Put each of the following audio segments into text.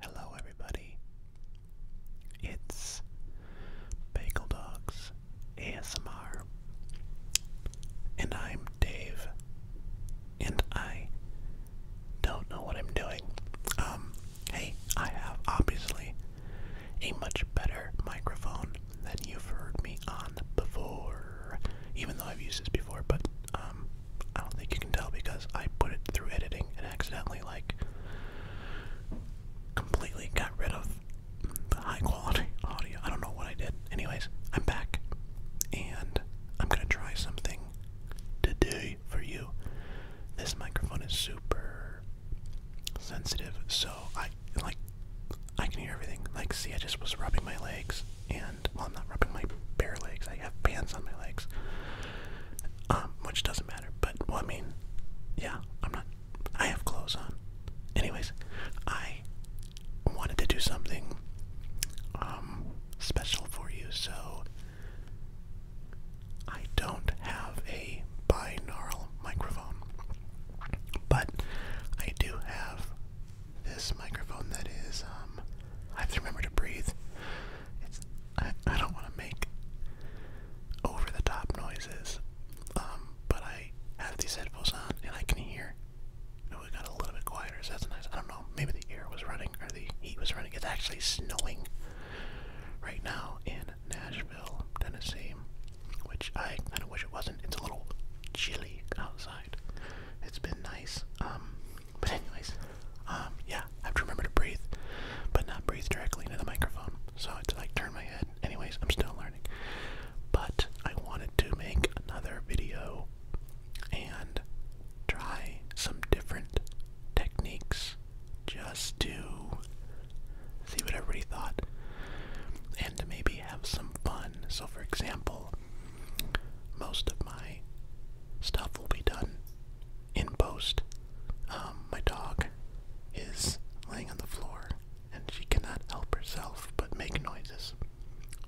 Hello, everybody. It's Bagel Dogs ASMR, and I'm Dave, and I don't know what I'm doing. Um, hey, I have obviously a much better microphone than you've heard me on before even though I've used this before, but um, I don't think you can tell because I put it through editing and accidentally like completely got rid of the high quality audio. I don't know what I did. Anyways, I'm back and I'm gonna try something today for you. This microphone is super sensitive, so I like I can hear everything. Like, see, I just was rubbing my legs, and I'm not rubbing my bare legs. I have bands on my legs, um, which doesn't matter. But well, I mean, yeah, I'm not. I have clothes on. Anyways, I wanted to do something um, special for you, so I don't have a binaural microphone, but I do have this microphone that is, um, I have to remember to breathe. It's, I, don't want to make over the top noises, um, but I have these headphones on and I can hear. You got a little bit quieter, that's nice. I don't know, maybe the air was running or the heat was running. It's actually snowing right now in Nashville, Tennessee, which I kind of wish it wasn't. It's a little chilly outside. It's been nice. Um, but anyways, um, yeah, I have to remember to breathe, but not breathe directly into the microphone. So it's like turn my head. Anyways, I'm still learning. But I wanted to make another video and try some different techniques just to see what everybody thought and maybe have some fun so, for example, most of my stuff will be done in post. Um, my dog is laying on the floor and she cannot help herself but make noises.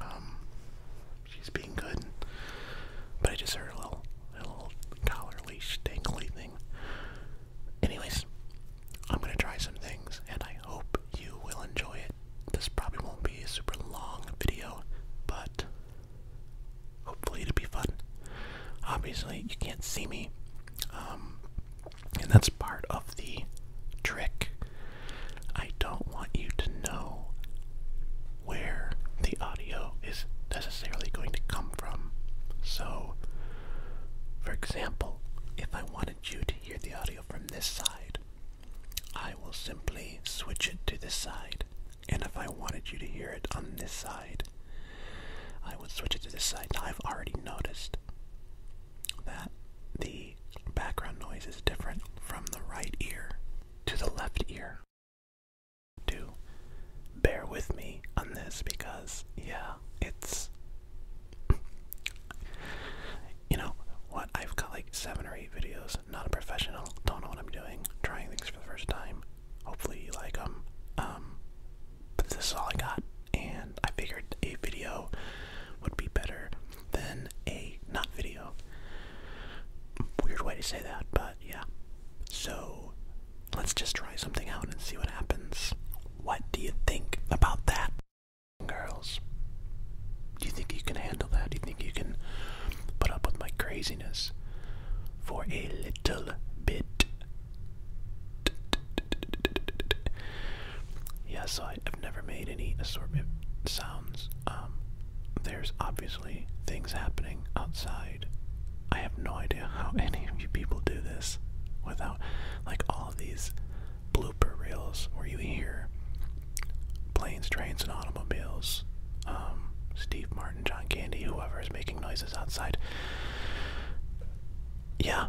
Um, she's being good, but I just heard a little, a little collar leash dangly thing. Anyways, I'm gonna try some things, and I hope you will enjoy it. This probably won't be a super long video, but hopefully it'll be fun. Obviously, you can't see me, um, and that's part of the trick. I don't want you to know where the audio is necessarily going to come from. So, for example, if I want you to hear the audio from this side, I will simply switch it to this side. And if I wanted you to hear it on this side, I would switch it to this side. Now, I've already noticed that the background noise is different from the right ear to the left ear. Do bear with me on this because, yeah, it's you know what? I've got like seven or eight videos. Not a professional. Don't know what I'm doing. Trying things for the first time. Hopefully you like them. Um, but this is all I got, and I figured a video would be better than a not video. Weird way to say that, but yeah. So let's just try something out and see what happens. What do you think about that, girls? Do you think you can handle that? Do you think you can put up with my craziness for a little bit? Yeah, so I've never made any assortment sounds. Um, there's obviously things happening outside. I have no idea how any of you people do this without, like, all all these blooper reels where you hear planes, trains, and automobiles, um, Steve Martin, John Candy, whoever is making noises outside. Yeah,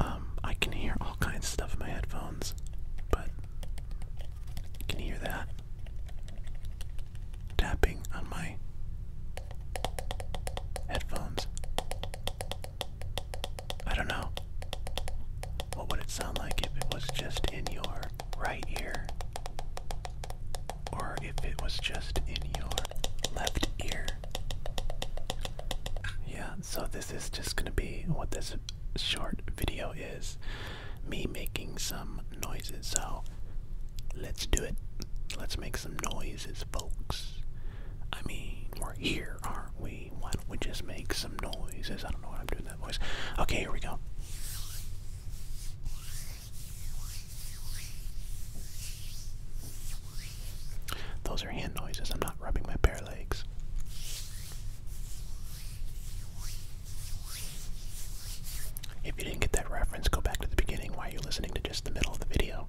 um, I can hear all kinds of stuff in my headphones, but can you hear that? Tapping on my Headphones. I don't know. What would it sound like if it was just in your right ear? Or if it was just in your left ear? Yeah, so this is just gonna be what this short video is me making some noises. So let's do it. Let's make some noises, folks. I mean, we're here, aren't we? Why don't we just make some noises? I don't know why I'm doing that voice. Okay, here we go. Those are hand noises. I'm not rubbing my bare legs. If you didn't get that reference, go back to the beginning. Why are you listening to just the middle of the video?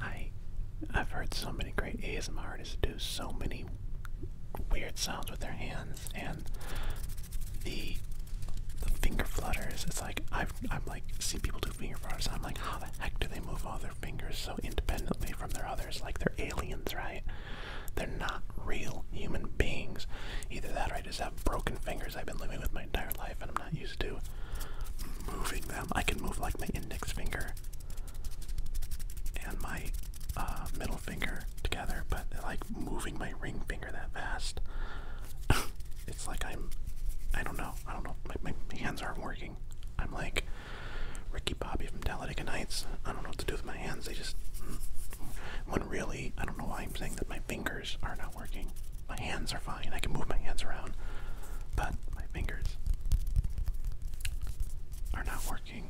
I I've heard so many great ASMR artists do so many weird sounds with their hands and the the finger flutters. It's like I've I'm like see people do finger flutters. I'm like, how the heck do they move all their fingers so independently from their others? Like they're aliens, right? They're not real human beings. Either that right is just have broken fingers I've been living with my entire life, and I'm not used to moving them. I can move like my index finger and my uh, middle finger together, but like moving my ring finger that fast, it's like I'm, I don't know, I don't know, my, hands aren't working. I'm like Ricky Bobby from Talladega Nights. I don't know what to do with my hands. They just, mm, won't really, I don't know why I'm saying that my fingers are not working. My hands are fine. I can move my hands around, but my fingers are not working.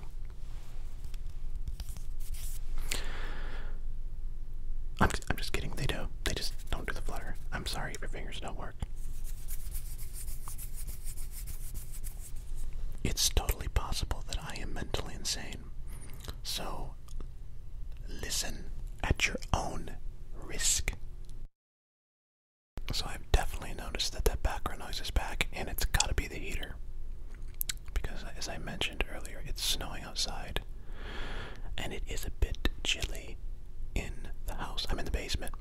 I'm, I'm just kidding. They do. They just don't do the flutter. I'm sorry if your fingers don't work. It's totally possible that I am mentally insane. So listen at your own risk. So I've definitely noticed that that background noise is back, and it's got to be the heater. Because, as I mentioned earlier, it's snowing outside, and it is a bit chilly in the house. I'm in the basement.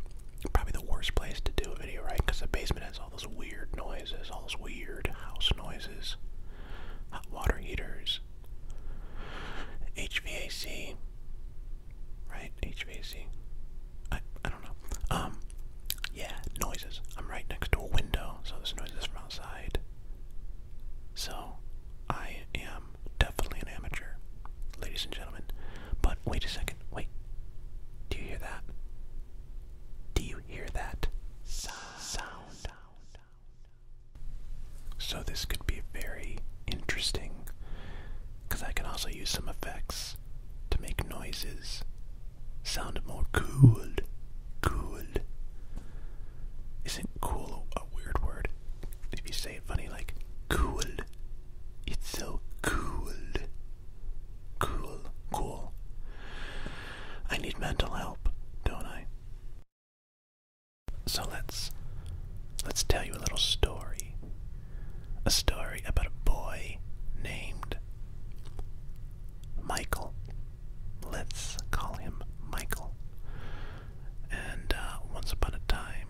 Probably the worst place to do a video, right? Because the basement has all those weird noises, all those weird house noises hot water heaters, HVAC, right? HVAC. I I don't know. Um, yeah, noises. I'm right next to a window, so there's noises from outside. So, I am definitely an amateur, ladies and gentlemen. But wait a second. Wait. Do you hear that? Do you hear that? Sound. Sound. So this could be very interesting because I can also use some effects to make noises sound more cool. Cool. Isn't cool a weird word? If you say it funny, like cool, it's so cool. Cool, cool. I need mental help, don't I? So let's let's tell you a little story. A story about a boy named Michael. Let's call him Michael. And uh, once upon a time,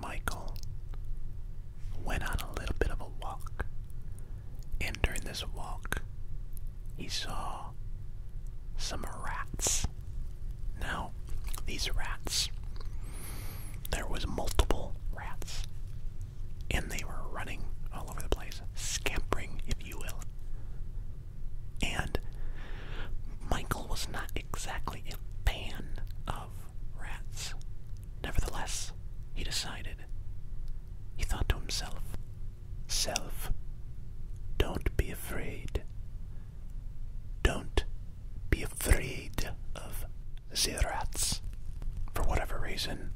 Michael went on a little bit of a walk. And during this walk, he saw some rats. Now, these rats, there was multiple rats, and they were running all over the place, scampering, if you will. And Michael was not exactly a fan of rats. Nevertheless, he decided, he thought to himself, self. Don't be afraid. Don't be afraid of zirats, For whatever reason,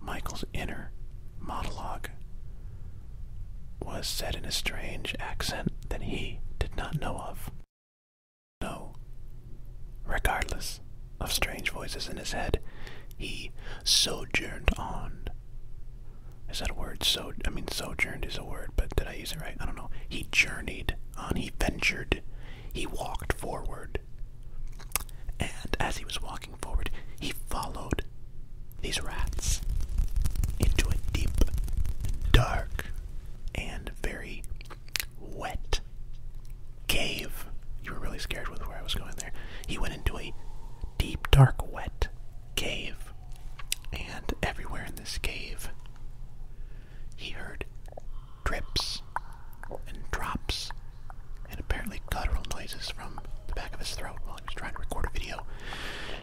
Michael's inner monologue was said in a strange accent that he did not know of. No, regardless of strange voices in his head, he sojourned on. Is that a word? So I mean, sojourned is a word, but did I use it right? I don't know. He journeyed on. He ventured. He walked forward. And as he was walking forward, he followed these rats into a deep, dark, and very wet cave. You were really scared with where I was going there. He went into a deep, dark, wet cave. And everywhere in this cave, he heard drips and drops and apparently guttural noises from the back of his throat while he was trying to record a video.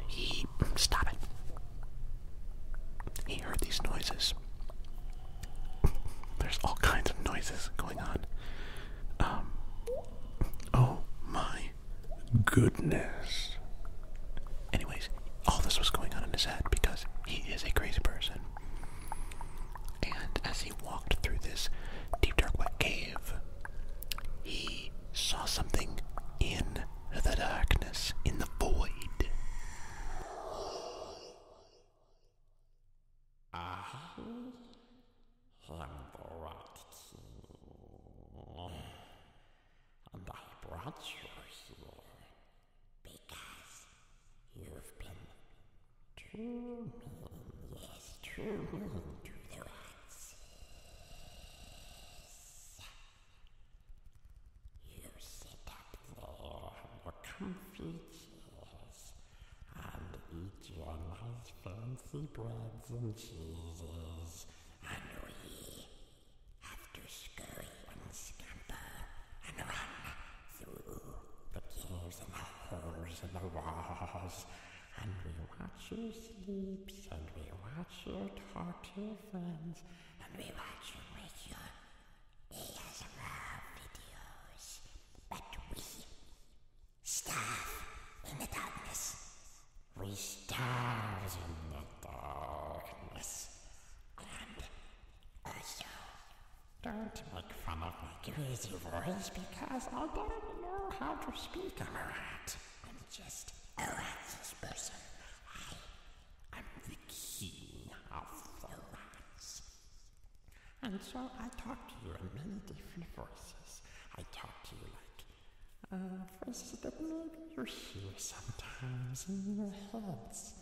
He. Stop it. He heard these noises there's all kinds of noises going on. Um, oh my goodness. Anyways, all this was going on in his head because he is a crazy person. And as he walked through this deep, dark, wet cave, he saw something in the darkness, in the void. I am the Rat King, and I brought you here because you've been too mean, to the rats. You sit up there in your comfy cheese and eat your nice fancy breads and cheeses, and we have to scurry and scamper and run through the caves and the holes and the walls, and we watch your sleep, and we watch your talk to your friends, and we watch you with your ASMR videos, but we starve in the darkness. We starve in the darkness. And also, don't make fun of my crazy voice because I don't know how to speak. I'm a rat. I'm just a rat's person. I'm the king of the rats. And so I talk to you in many different voices. I talk to you like, uh, voices that maybe you hear sometimes in your heads.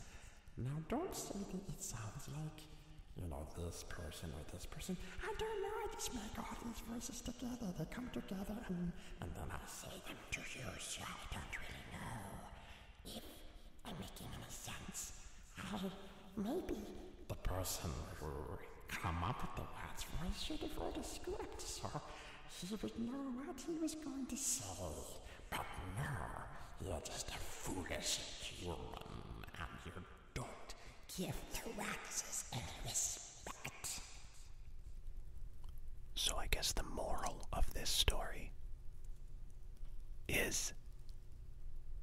Now don't say that it sounds like, you know, this person or this person. I don't know, I just make all these voices together. They come together and, and then I say them to you, so I don't really know. If I'm making any sense, I maybe the person who came up with the words was should have wrote a script, so he would know what he was going to say. But no, you're just a foolish human, and you don't give the waxes any respect. So I guess the moral of this story is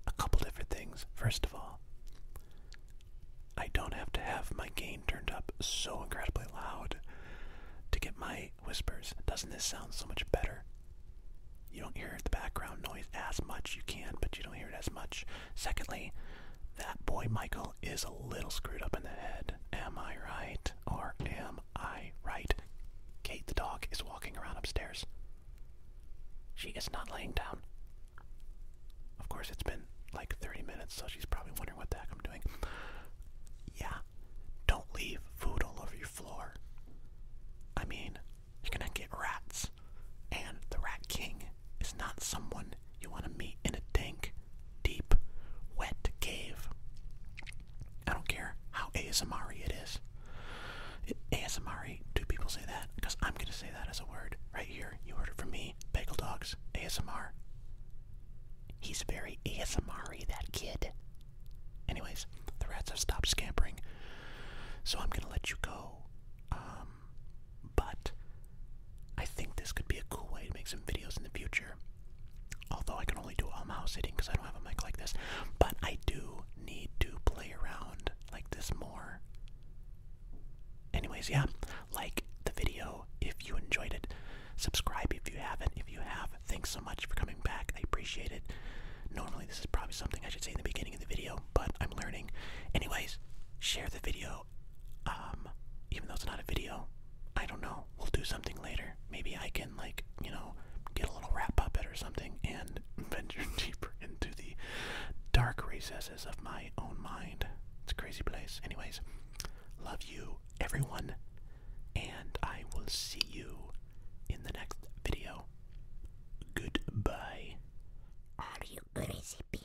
a couple different things. First of all, I don't have to have my gain turned up so incredibly loud to get my whispers. Doesn't this sound so much better? You don't hear the background noise as much. You can, but you don't hear it as much. Secondly, that boy Michael is a little screwed up in the head. Am I right? or am I right? Kate the dog is walking around upstairs. She is not laying down. Of course, it's been like 30 minutes, so she's probably wondering what the heck I'm doing. Yeah, don't leave food all over your floor. I mean, you're gonna get rats. And the Rat King is not someone you want to meet in a dink deep, wet cave. I don't care how ASMR it is. ASMR, do people say that? Because I'm going to say that as a word right here. You heard it from me. Bagel Dogs, ASMR. He's very ASMR that kid. Anyways, the rats have stopped scampering, so I'm going to let you go. Um, but I think this could be a cool way to make some videos in the future. Although I can only do all mouse sitting because I don't have a mic like this. But I do need to play around like this more. Anyways, yeah, like the video if you enjoyed it. Subscribe if you haven't. If you have, thanks so much for coming back. I appreciate it. Normally, this is probably something I should say in the beginning of the video, but I'm learning. Anyways, share the video, um, even though it's not a video. I don't know. We'll do something later. Maybe I can like, you know, get a little wrap up it or something and venture deeper into the dark recesses of my own mind. It's a crazy place. Anyways, love you everyone and I will see you in the next video. Goodbye. Are you crazy people?